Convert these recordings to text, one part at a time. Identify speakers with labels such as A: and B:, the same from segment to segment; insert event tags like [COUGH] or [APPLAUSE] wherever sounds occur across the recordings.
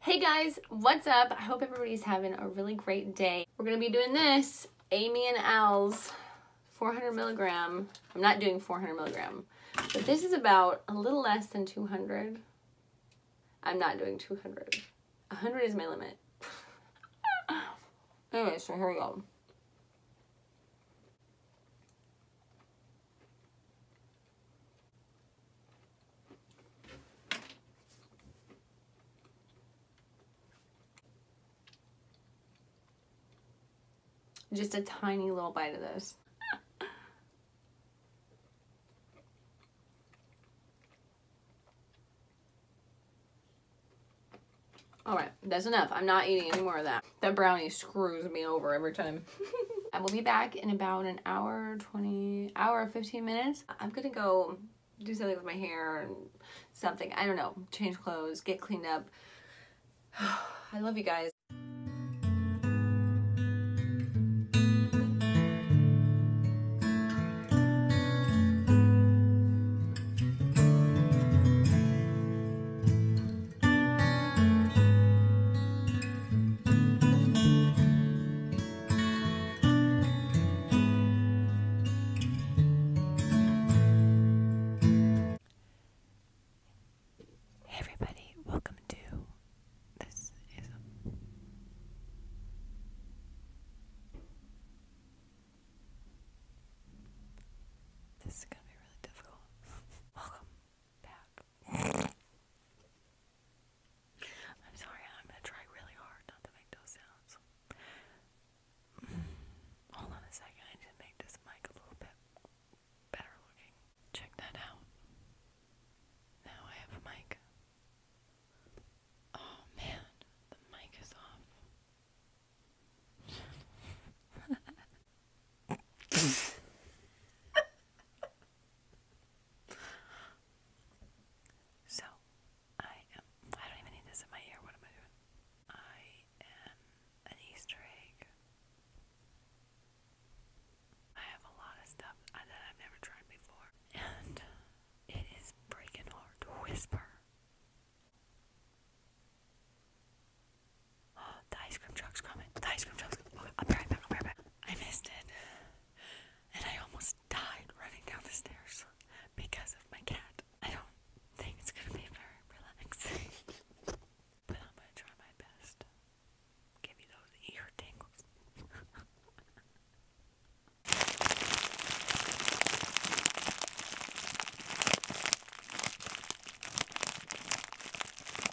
A: Hey guys, what's up? I hope everybody's having a really great day. We're gonna be doing this, Amy and Al's 400 milligram. I'm not doing 400 milligram, but this is about a little less than 200. I'm not doing 200. 100 is my limit. [LAUGHS] anyway, so here we go. Just a tiny little bite of this. [LAUGHS] All right, that's enough. I'm not eating any more of that. That brownie screws me over every time. [LAUGHS] I will be back in about an hour, 20, hour, 15 minutes. I'm gonna go do something with my hair something. I don't know, change clothes, get cleaned up. [SIGHS] I love you guys. Hey
B: everybody, welcome to this is This is gonna be really difficult. [LAUGHS] welcome back I'm sorry, I'm gonna try really hard not to make those sounds. [CLEARS THROAT] Hold on a second, I need to make this mic a little bit better looking. Check that out. Now I have a mic. Oh man, the mic is off. [LAUGHS] so, I am. I don't even need this in my ear. What am I doing? I am an Easter egg. I have a lot of stuff that I've never tried before, and it is freaking hard to whisper. [GASPS] the ice cream truck's coming. The ice cream truck's coming. I'll be right back. I'll be right back. I missed it. And I almost died running down the stairs because of my cat. I don't think it's going to be very relaxing. [LAUGHS] but I'm going to try my best. Give you those ear tangles. [LAUGHS]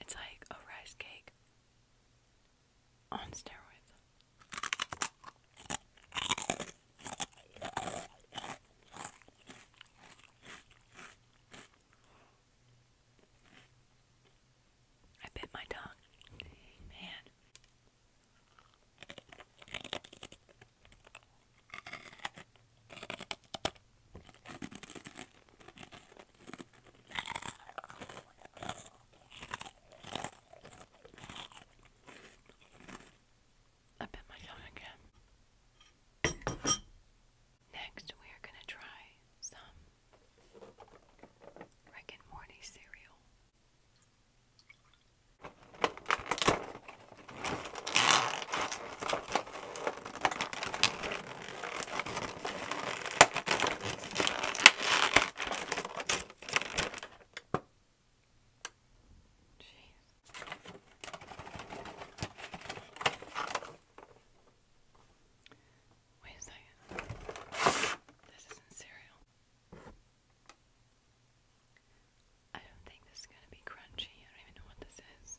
B: It's like a rice cake on steroids. I bit my tongue. Man. I bit my tongue again. Next, we are going to try some Rick and Morty cereal. Wait a second. This isn't cereal. I don't think this is going to be crunchy. I don't even know what this is.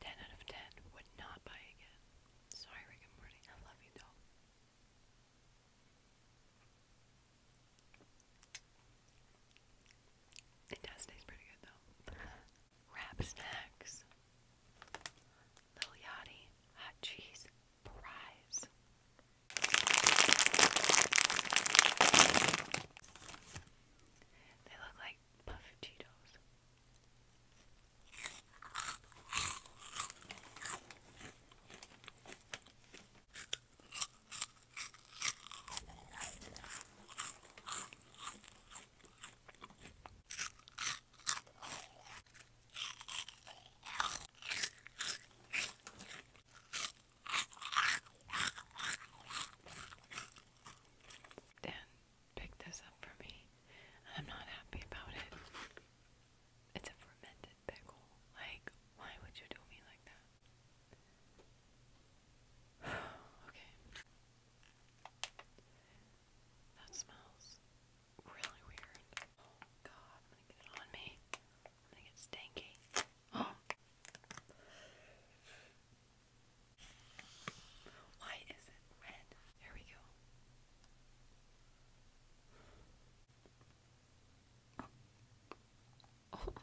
B: 10 out of 10 would not buy again. Sorry, Rick and I love you, though. It does taste pretty good, though. [LAUGHS] Wrap snacks. Lil Yachty hot cheese fries. They look like like puffy Cheetos. Then picked this up for me, and I'm not happy about it. It's a fermented pickle. Like, why would you do me like that? [SIGHS] okay. That smells really weird. Oh god, I'm gonna get it on me. I'm gonna get stinky. [GASPS] Oh. Why is it red? There we go. [LAUGHS]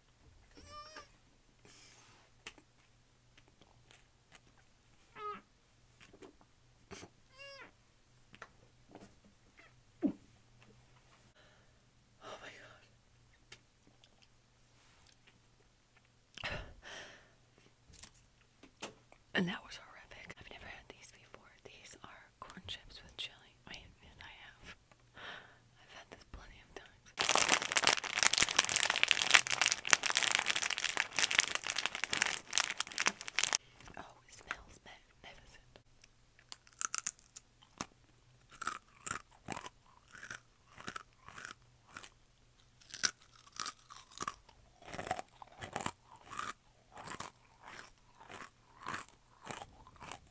B: Oh my god. And that was horrific. I've never had these before. These are corn chips with chili. I mean, I have. I've had this plenty of times. Oh, it smells magnificent.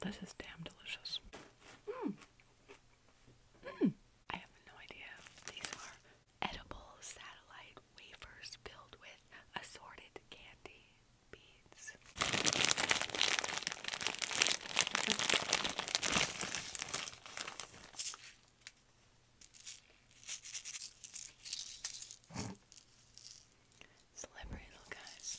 B: this is damn delicious. Mm. Mm. I have no idea. These are edible satellite wafers filled with assorted candy, lights. Slippery little guys.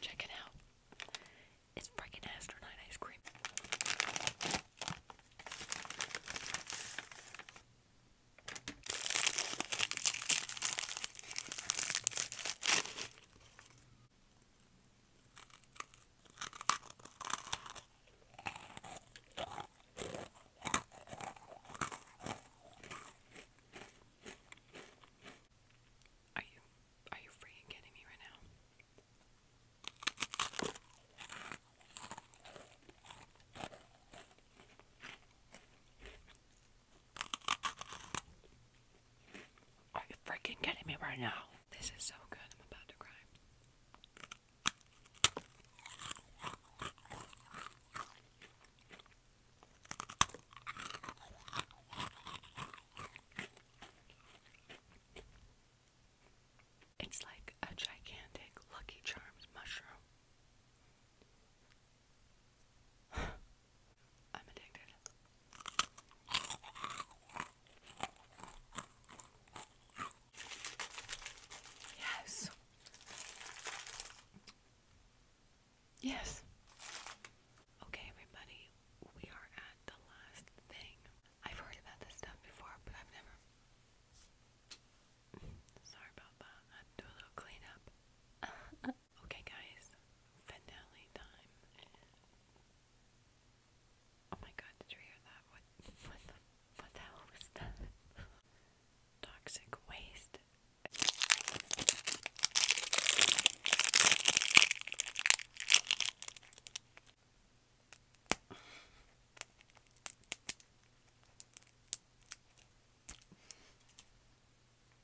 B: Check it out. It's freaking astronaut ice cream. Are you are you freaking kidding me right now? Are you freaking kidding me right now? This is so good, I'm about to cry. It's like a gigantic Lucky Charms mushroom. [SIGHS] I'm addicted. Yes. Yes. Okay, everybody, we are at the last thing. I've heard about this stuff before, but I've never. Sorry about that. I do a little cleanup. [LAUGHS] okay, guys, finale time. Oh my god, did you hear that? What what the what hell was that? [LAUGHS] Toxic waste.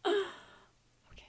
B: [SIGHS] okay.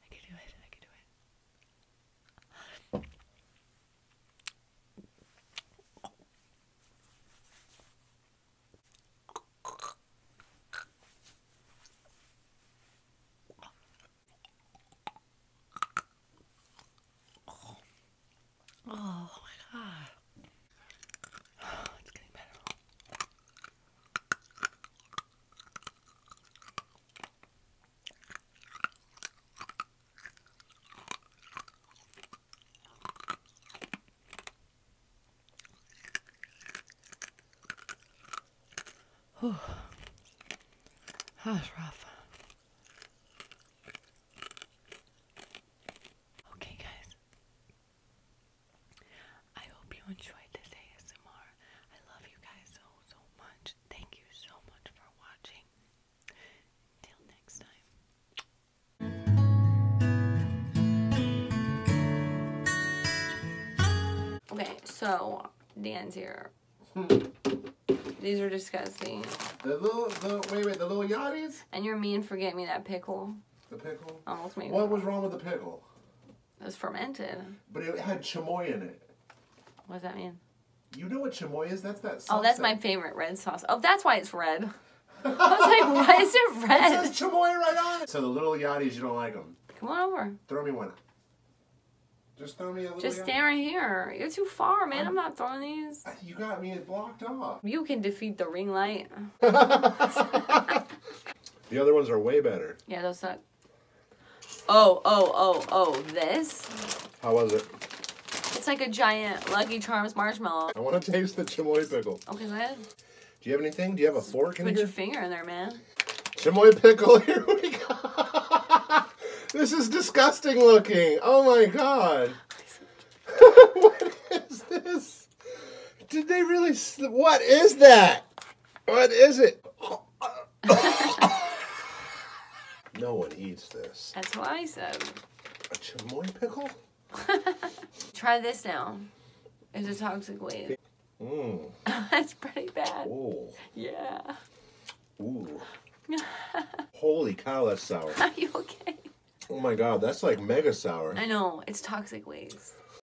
B: I can do it. I can do it. Oh, my god. [SIGHS] it's getting better. Whew. That was rough. Okay, guys. I hope you enjoyed this ASMR. I love you guys so, so much. Thank you so much for watching. Till
A: next time. Okay, so Dan's here. Hmm. These are disgusting. The little, the, wait, wait, the little yachties? And your mean forget me that pickle. The pickle? Almost made What was wrong with the pickle? It was fermented. But it had chamoy in it. What does that mean? You know what chamoy is? That's that Oh, that's my favorite red sauce. Oh, that's why it's red. [LAUGHS] I was like, why is it red? It says right on So the little yaddies, you don't like them. Come on over. Throw me one. Just throw me a Just yachty. stand right here. You're too far, man. I'm, I'm not throwing these. You got me blocked off. You can defeat the ring light. [LAUGHS] [LAUGHS] the other ones are way better. Yeah, those suck. Oh, oh, oh, oh, this? How was it? It's like a giant Lucky Charms marshmallow. I want to taste the chamoy pickle. Okay, go ahead. Do you have anything? Do you have a fork in Put your finger in there, man. Chamoy pickle, [LAUGHS] here we go. this is disgusting looking. Oh my god. [LAUGHS] what is this? Did they really? What is that? What is it? [LAUGHS] no one eats this. That's what I said. A chamoy pickle? [LAUGHS] Try this now. It's a toxic waste. Mmm. [LAUGHS] That's pretty bad. Yeah. Ooh. Holy cow, that's sour. Are you okay? Oh my god, that's like mega sour. I know. It's toxic waste.